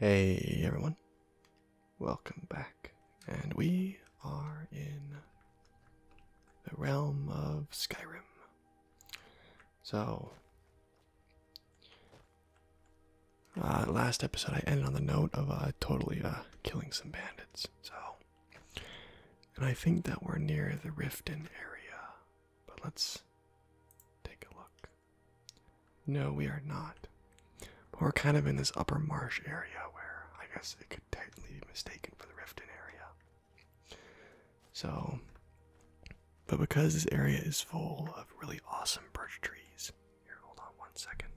Hey everyone, welcome back, and we are in the realm of Skyrim. So, uh, last episode I ended on the note of uh, totally uh, killing some bandits, so, and I think that we're near the Riften area, but let's take a look. No, we are not. But we're kind of in this upper marsh area where I guess it could technically be mistaken for the Riften area. So, but because this area is full of really awesome birch trees, here, hold on one second.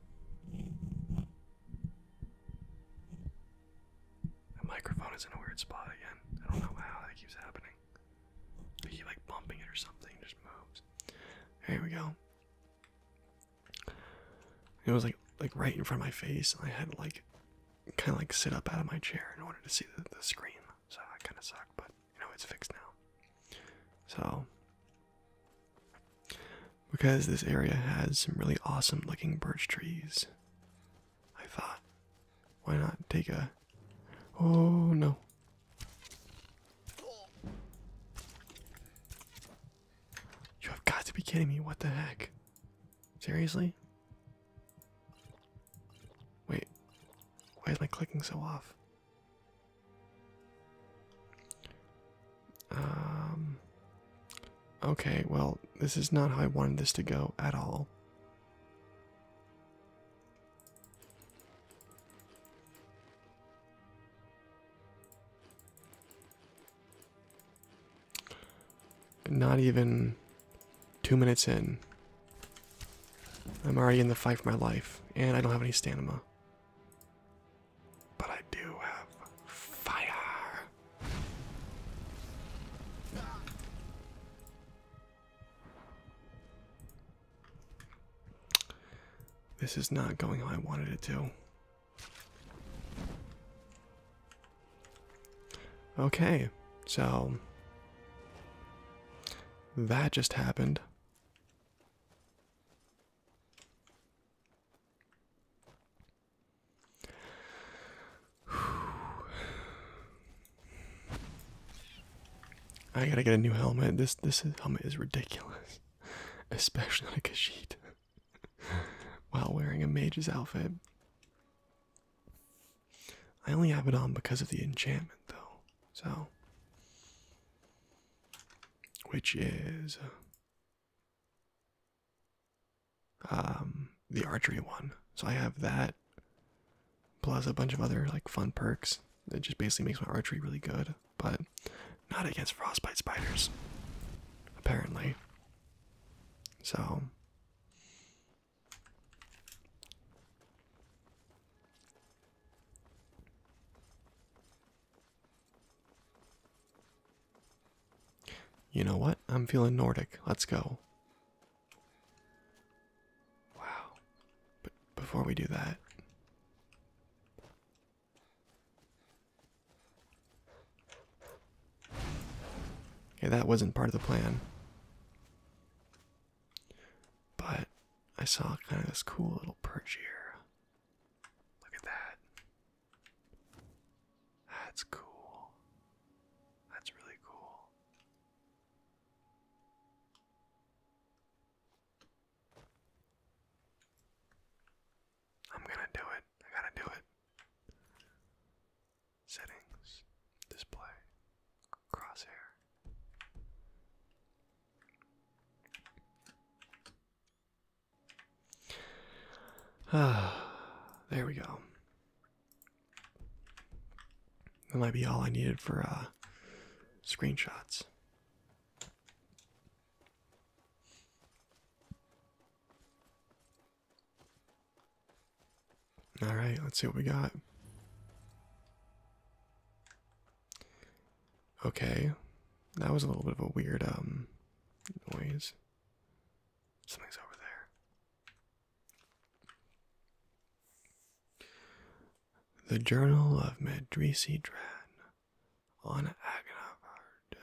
The microphone is in a weird spot again. I don't know how that keeps happening. I like bumping it or something, just moves. Here we go. It was like like right in front of my face, and I had to like kind of like sit up out of my chair in order to see the, the screen. So that kind of sucked, but you know it's fixed now. So because this area has some really awesome looking birch trees I thought. Why not take a. Oh no. You have got to be kidding me. What the heck? Seriously? Wait. Why is my clicking so off? Um. Okay, well, this is not how I wanted this to go at all not even two minutes in. I'm already in the fight for my life, and I don't have any stamina. But I do have fire. This is not going how I wanted it to. Okay, so that just happened. I gotta get a new helmet. This this helmet is ridiculous, especially on a Kashyyyk while wearing a mage's outfit. I only have it on because of the enchantment, though. So, which is uh, um, the archery one. So I have that, plus a bunch of other like fun perks. It just basically makes my archery really good, but not against frostbite spiders, apparently. So. You know what? I'm feeling Nordic. Let's go. Wow. But before we do that, Okay, that wasn't part of the plan. But I saw kind of this cool little perch here. Look at that. That's cool. That's really cool. I'm gonna do it. I gotta do it. Settings, display, crosshair. Ah, there we go. That might be all I needed for uh, screenshots. All right, let's see what we got. Okay, that was a little bit of a weird um, noise. Something's over there. The Journal of Medrisi Dran on Agnavard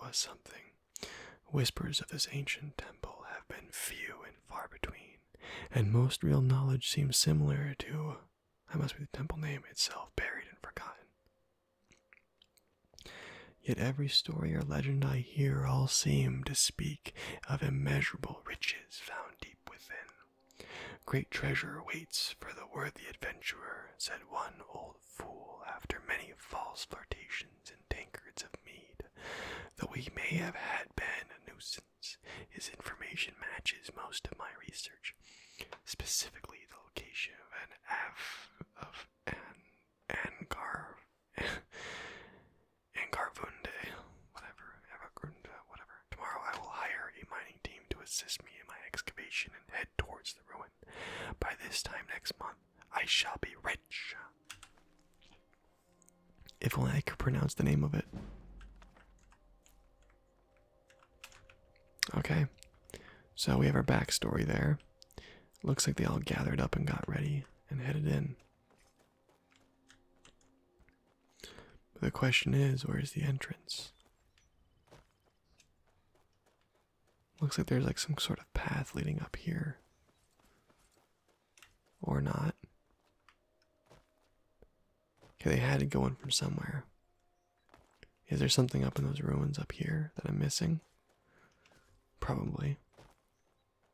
was something. Whispers of this ancient temple have been few and far between, and most real knowledge seems similar to I must be the temple name itself, buried and forgotten. Yet every story or legend I hear all seem to speak of immeasurable riches riches found deep within. Great treasure waits for the worthy adventurer, said one old fool after many false flirtations and tankards of mead. Though he may have had been a nuisance, his information matches most of my research, specifically the location of an f of an angar in Garvunde, whatever, Evagrunde, whatever. Tomorrow I will hire a mining team to assist me in my excavation and head towards the ruin. By this time next month, I shall be rich. If only I could pronounce the name of it. Okay, so we have our backstory there. Looks like they all gathered up and got ready and headed in the question is, where is the entrance? Looks like there's like some sort of path leading up here. Or not. Okay, they had to go in from somewhere. Is there something up in those ruins up here that I'm missing? Probably.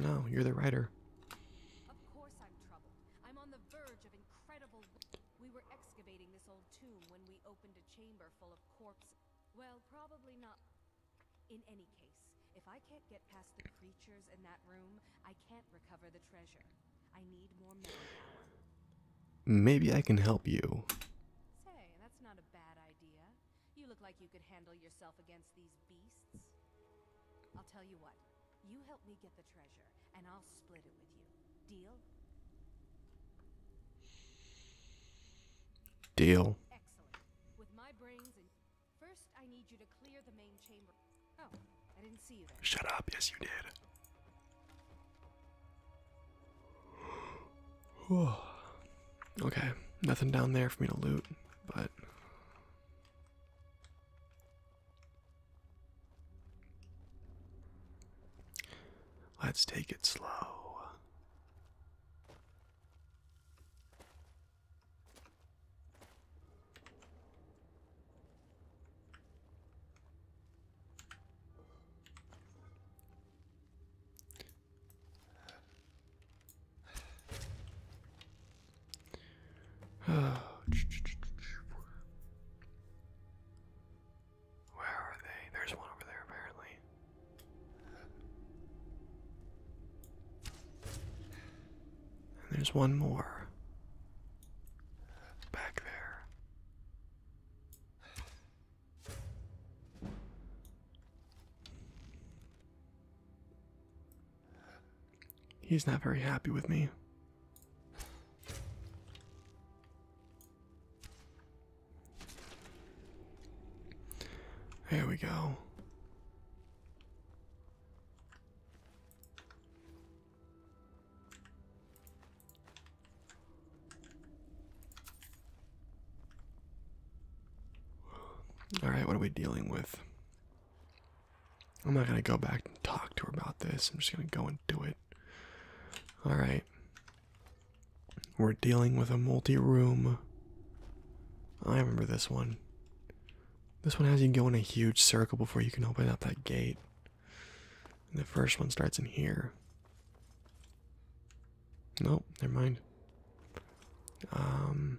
No, you're the writer. Of course I'm troubled. I'm on the verge of incredible We were excavating this old tomb when we opened a chamber full of corpses. Well, probably not. In any case, if I can't get past the creatures in that room, I can't recover the treasure. I need more manpower. Maybe I can help you. Say, that's not a bad idea. You look like you could handle yourself against these beasts? I'll tell you what. You help me get the treasure, and I'll split it with you. Deal? Deal. Excellent. With my brains first I need you to clear the main chamber. Oh, I didn't see you there. Shut up. Yes, you did. okay, nothing down there for me to loot, but Let's take it slow. Where are they? There's one over there, apparently. there's one more. Back there. He's not very happy with me. There we go. All right, what are we dealing with? I'm not gonna go back and talk to her about this. I'm just gonna go and do it. Alright. We're dealing with a multi room. I remember this one. This one has you go in a huge circle before you can open up that gate. the first one starts in here. Nope, never mind. Um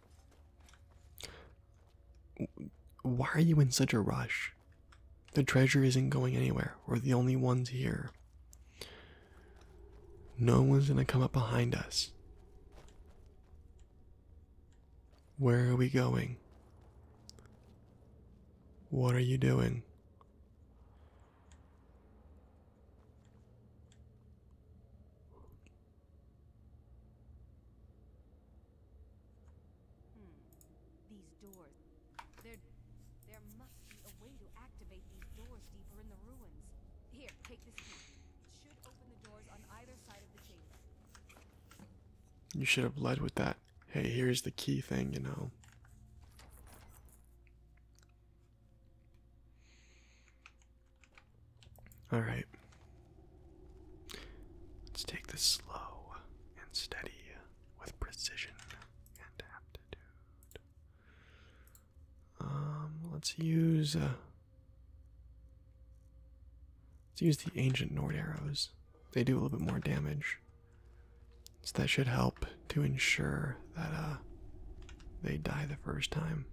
Why are you in such a rush? The treasure isn't going anywhere. We're the only ones here. No one's gonna come up behind us. Where are we going? What are you doing? Hmm. These doors. There, there must be a way to activate these doors deeper in the ruins. Here, take this key. It should open the doors on either side of the chamber. You should have led with that. Hey, here's the key thing, you know. All right. Let's take this slow and steady with precision and aptitude. Um, let's use uh, let's use the ancient Nord arrows. They do a little bit more damage, so that should help to ensure that uh, they die the first time.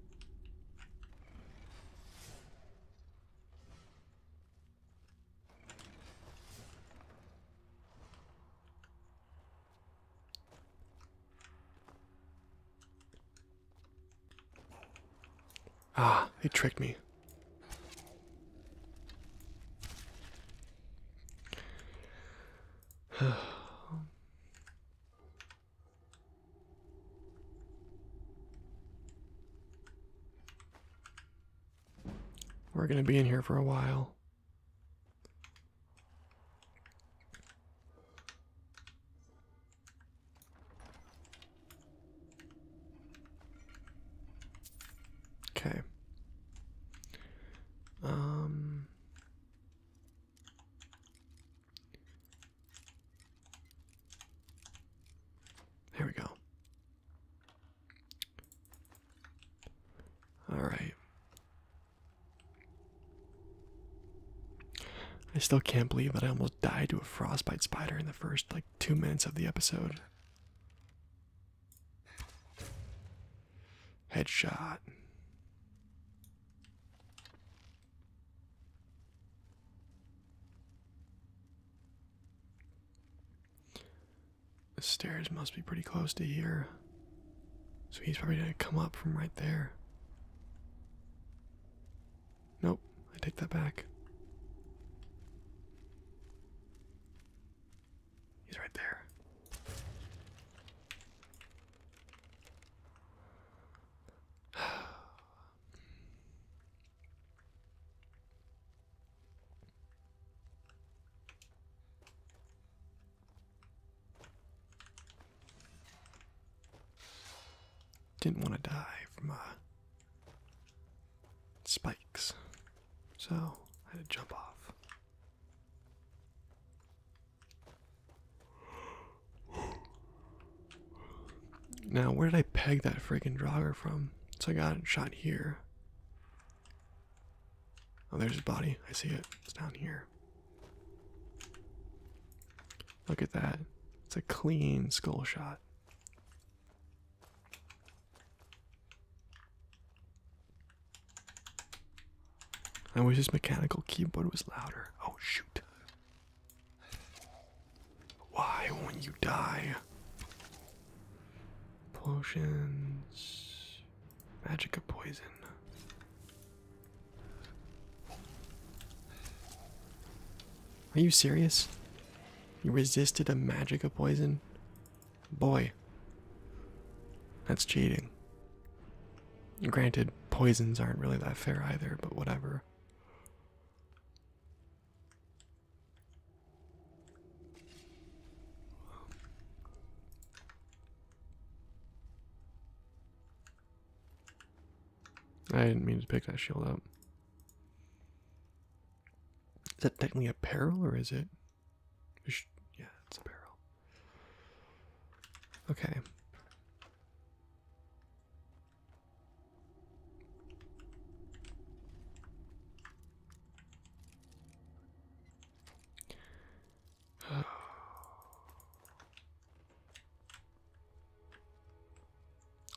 Ah, they tricked me. We're going to be in here for a while. Okay. Um there we go. All right. I still can't believe that I almost died to a frostbite spider in the first like 2 minutes of the episode. Headshot. The stairs must be pretty close to here. So he's probably going to come up from right there. Nope, I take that back. He's right there. Didn't want to die from uh, spikes, so I had to jump off. Now, where did I peg that freaking jogger from? So I got shot here. Oh, there's his body. I see it. It's down here. Look at that. It's a clean skull shot. I wish his mechanical keyboard was louder. Oh, shoot. Why won't you die? Potions. Magic of poison. Are you serious? You resisted a magic of poison? Boy. That's cheating. Granted, poisons aren't really that fair either, but whatever. I didn't mean to pick that shield up. Is that technically a peril or is it? Yeah, it's a peril. Okay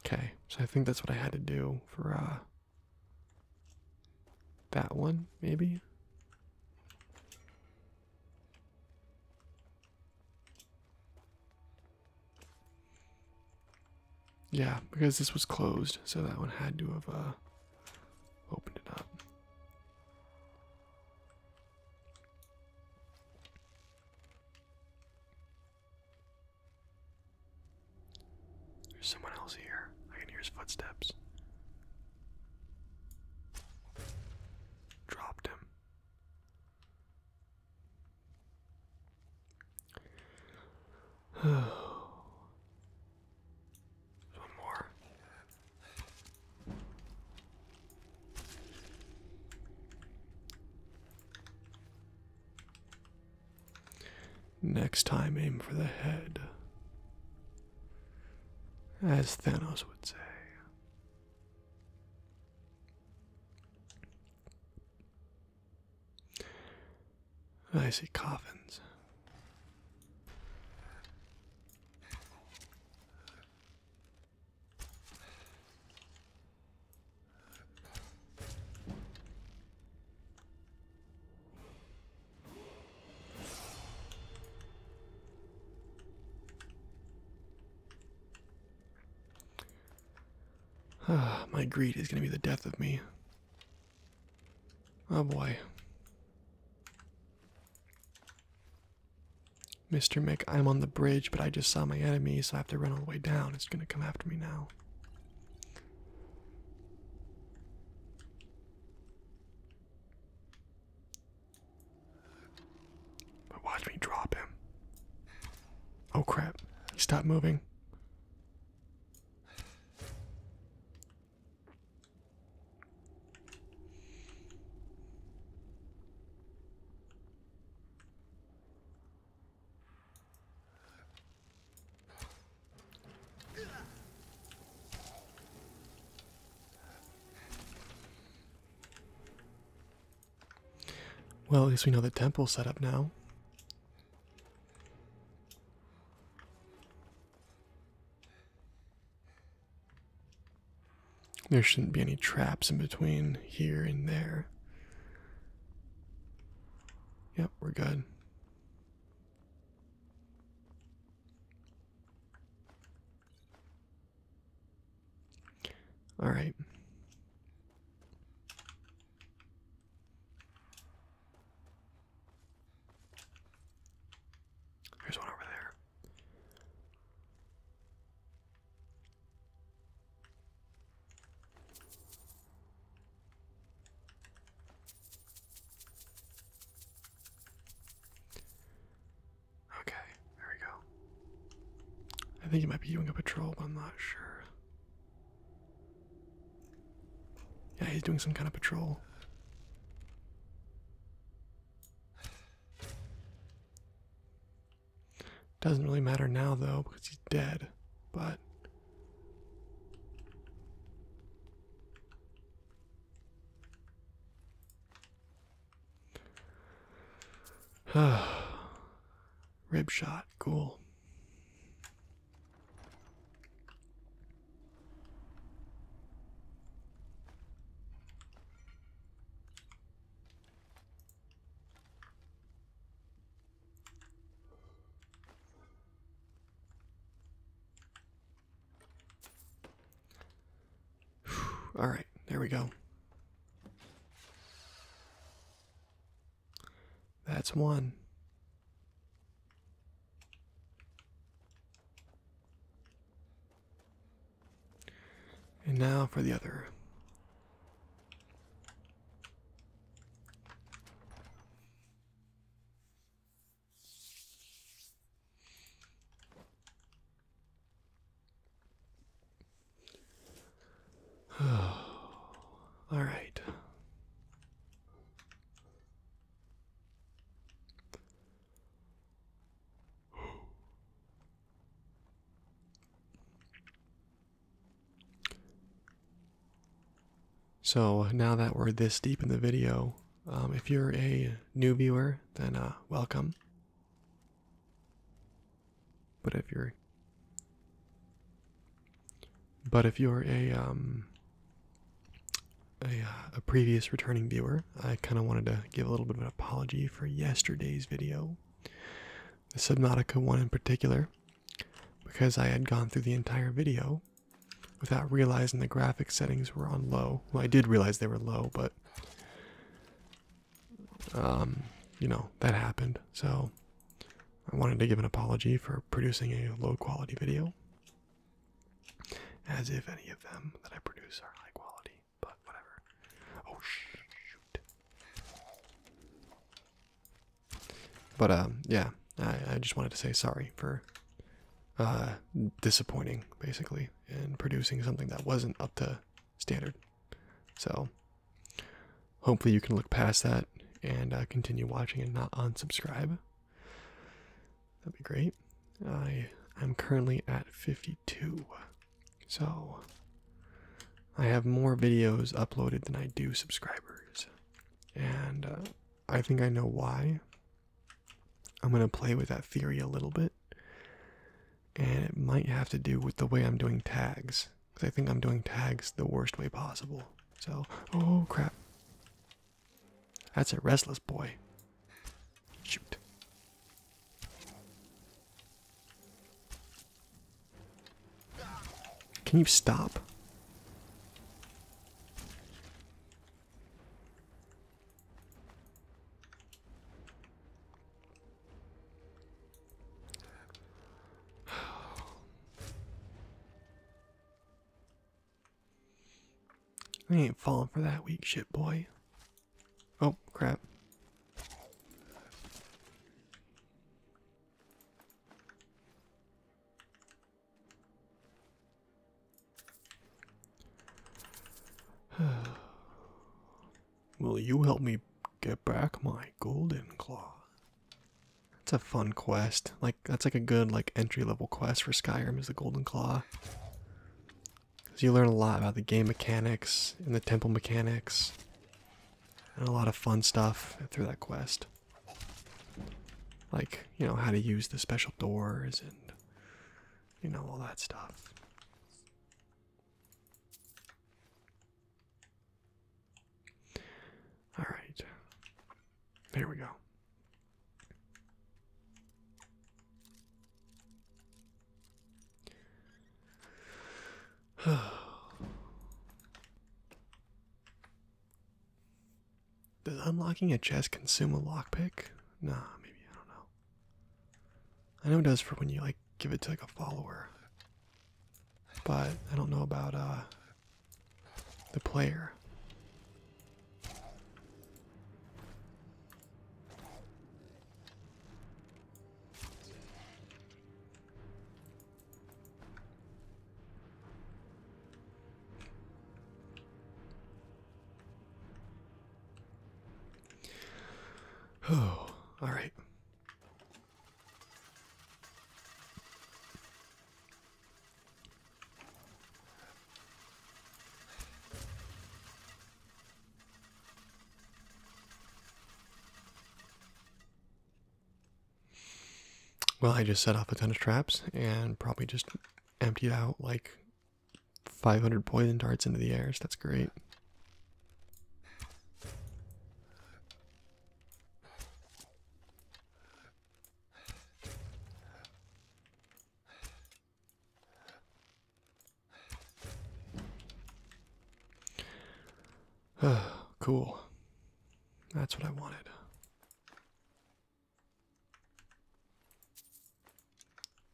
okay, so I think that's what I had to do for uh that one, maybe. Yeah, because this was closed, so that one had to have uh, opened it up. There's someone else here. I can hear his footsteps. Dropped him. One more. Next time, aim for the head. As Thanos would say. I see coffins. My greed is going to be the death of me. Oh boy. Mr. Mick, I'm on the bridge, but I just saw my enemy, so I have to run all the way down. It's going to come after me now. But watch me drop him. Oh crap. Stop moving. Well, at least we know the temple's set up now. There shouldn't be any traps in between here and there. Yep, we're good. All right. Here's one over there. Okay, there we go. I think he might be doing a patrol, but I'm not sure. Yeah, he's doing some kind of patrol. Doesn't really matter now, though, because he's dead, but. Rib shot, cool. All right, there we go. That's one. And now for the other. All right. So now that we're this deep in the video, um, if you're a new viewer, then uh, welcome. But if you're but if you're a um, a, uh, a previous returning viewer, I kind of wanted to give a little bit of an apology for yesterday's video, the Subnautica one in particular, because I had gone through the entire video without realizing the graphic settings were on low. Well, I did realize they were low, but um, you know that happened. So I wanted to give an apology for producing a low quality video, as if any of them that I produce are high quality, but whatever. Oh, shoot. But, um, yeah, I, just wanted to say sorry for uh, disappointing, basically, and producing something that wasn't up to standard. So, hopefully, you can look past that and uh, continue watching and not unsubscribe. That'd be great. I am currently at 52, so I have more videos uploaded than I do subscribers, and uh, I think I know why. I'm gonna play with that theory a little bit, and it might have to do with the way I'm doing tags, because I think I'm doing tags the worst way possible. So, oh crap. That's a restless boy. Shoot. Can you stop? I ain't falling for that weak shit, boy. Oh, crap. Will you help me get back my golden claw? It's a fun quest. Like that's like a good like entry level quest for Skyrim is the Golden Claw. Cause you learn a lot about the game mechanics and the temple mechanics, and a lot of fun stuff through that quest. Like you know how to use the special doors and you know all that stuff. All right. There we go. Does unlocking a chest consume a lockpick? Nah, maybe I don't know. I know it does for when you like give it to like a follower, but I don't know about uh the player. Oh, all right. Well, I just set off a ton of traps and probably just emptied out like 500 poison darts into the air, so that's great. cool. That's what I wanted.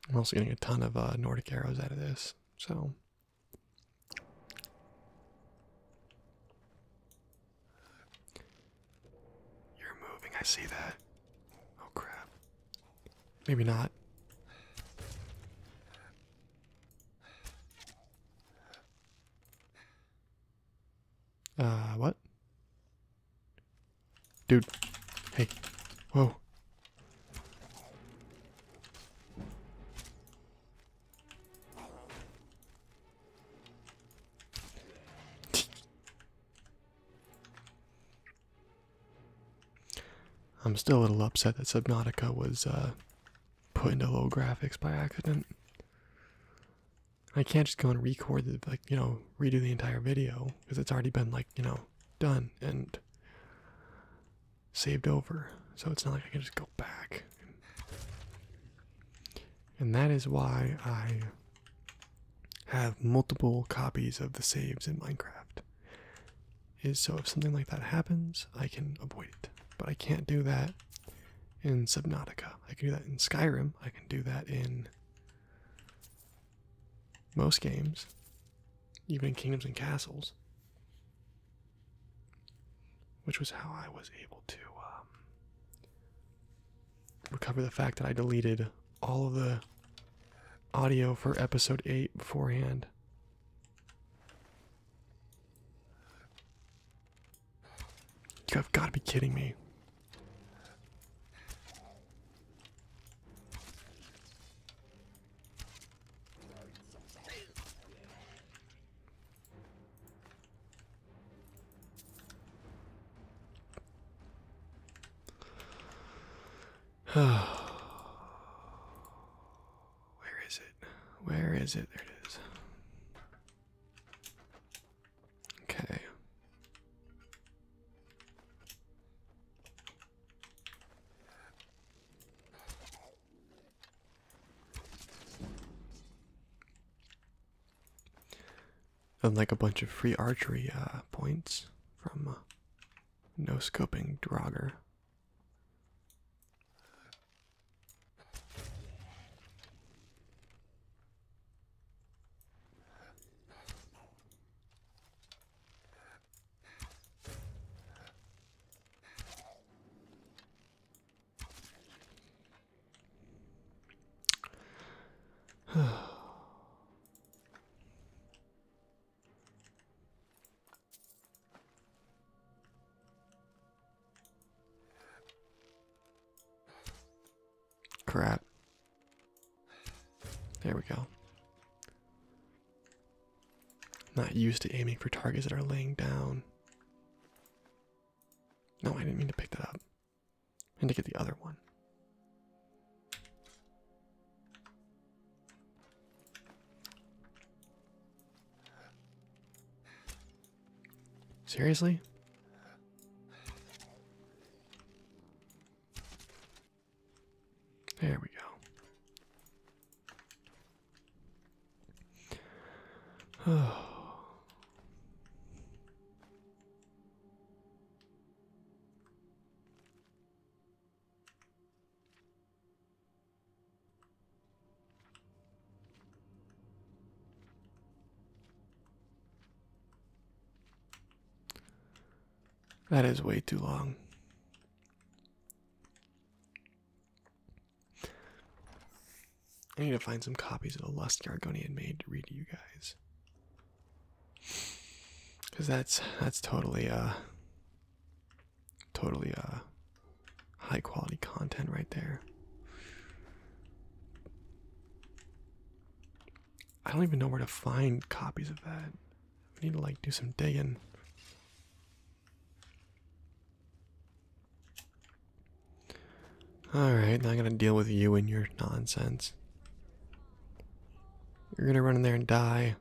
I'm also getting a ton of uh, Nordic arrows out of this, so. You're moving, I see that. Oh crap. Maybe not. Uh, what? Dude. Hey. Whoa. I'm still a little upset that Subnautica was uh, put into low graphics by accident. I can't just go and record it, like, you know, redo the entire video because it's already been, like, you know, done and saved over. So it's not like I can just go back. And that is why I have multiple copies of the saves in Minecraft. Is so if something like that happens, I can avoid it. But I can't do that in Subnautica. I can do that in Skyrim. I can do that in most games, even in Kingdoms and Castles. Which was how I was able to um, recover the fact that I deleted all of the audio for episode 8 beforehand. You've got to be kidding me. Where is it? Where is it? There it is. Okay and like a bunch of free archery uh, points from uh, no scoping Draugr. Crap. There we go. Not used to aiming for targets that are laying down. No, I didn't mean to pick that up. And to get the other one. Seriously? There we go. Oh. That is way too long. I need to find some copies of the Lust Gargonian made to read to you guys. Cause that's that's totally uh totally uh high quality content right there. I don't even know where to find copies of that. I need to like do some digging. Alright, i not gonna deal with you and your nonsense. You're gonna run in there and die.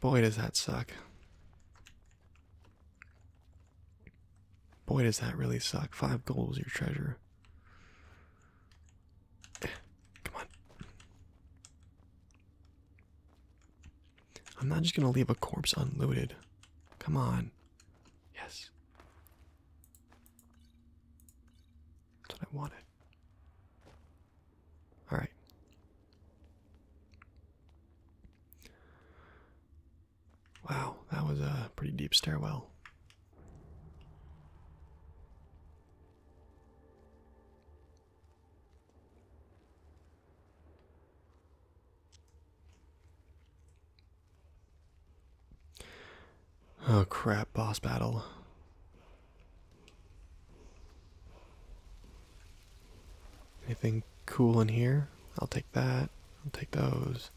Boy, does that suck. Boy, does that really suck. Five gold is your treasure. Come on. I'm not just gonna leave a corpse unlooted. Come on. Yes. That's what I wanted. Alright. Wow, that was a pretty deep stairwell. Oh crap, boss battle. Anything cool in here? I'll take that. I'll take those.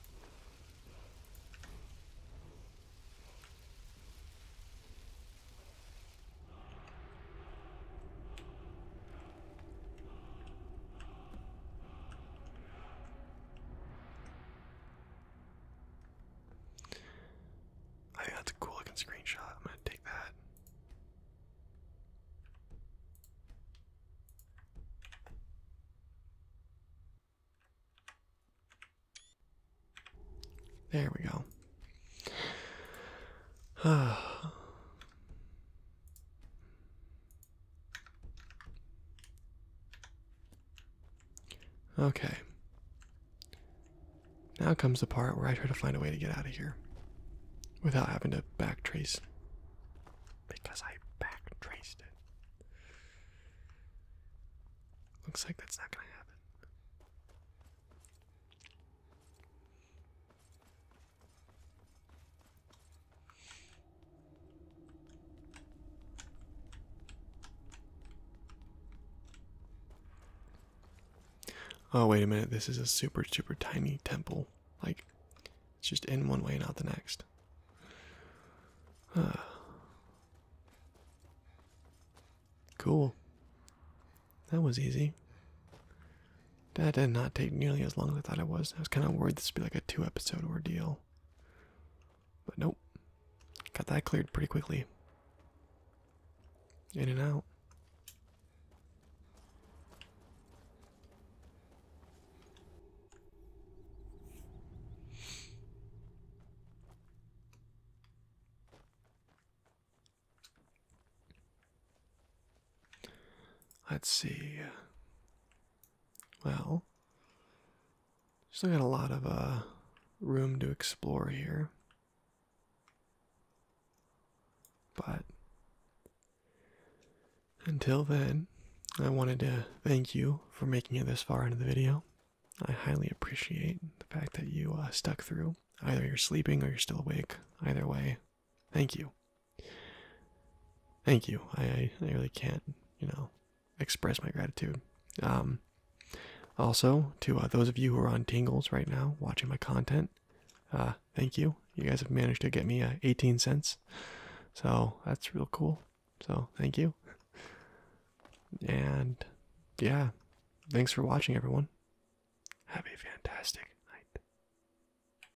I think that's a cool looking screenshot. I'm gonna take that. There we go. Okay. Now comes the part where I try to find a way to get out of here without having to backtrace. Because I backtraced it. Looks like that's not going to happen. Oh, wait a minute. This is a super, super tiny temple. Like, it's just in one way, and not the next. Uh, cool. That was easy. That did not take nearly as long as I thought it was. I was kind of worried this would be like a two episode ordeal. But nope. Got that cleared pretty quickly. In and out. Let's see. Well, still got a lot of uh, room to explore here. But until then, I wanted to thank you for making it this far into the video. I highly appreciate the fact that you uh, stuck through. Either you're sleeping or you're still awake. Either way, thank you. Thank you. I, I really can't, you know, express my gratitude. Um, also, to uh, those of you who are on Tingles right now watching my content, uh, thank you. You guys have managed to get me uh, 18 cents. So that's real cool. So thank you. And yeah, thanks for watching, everyone. Have a fantastic night.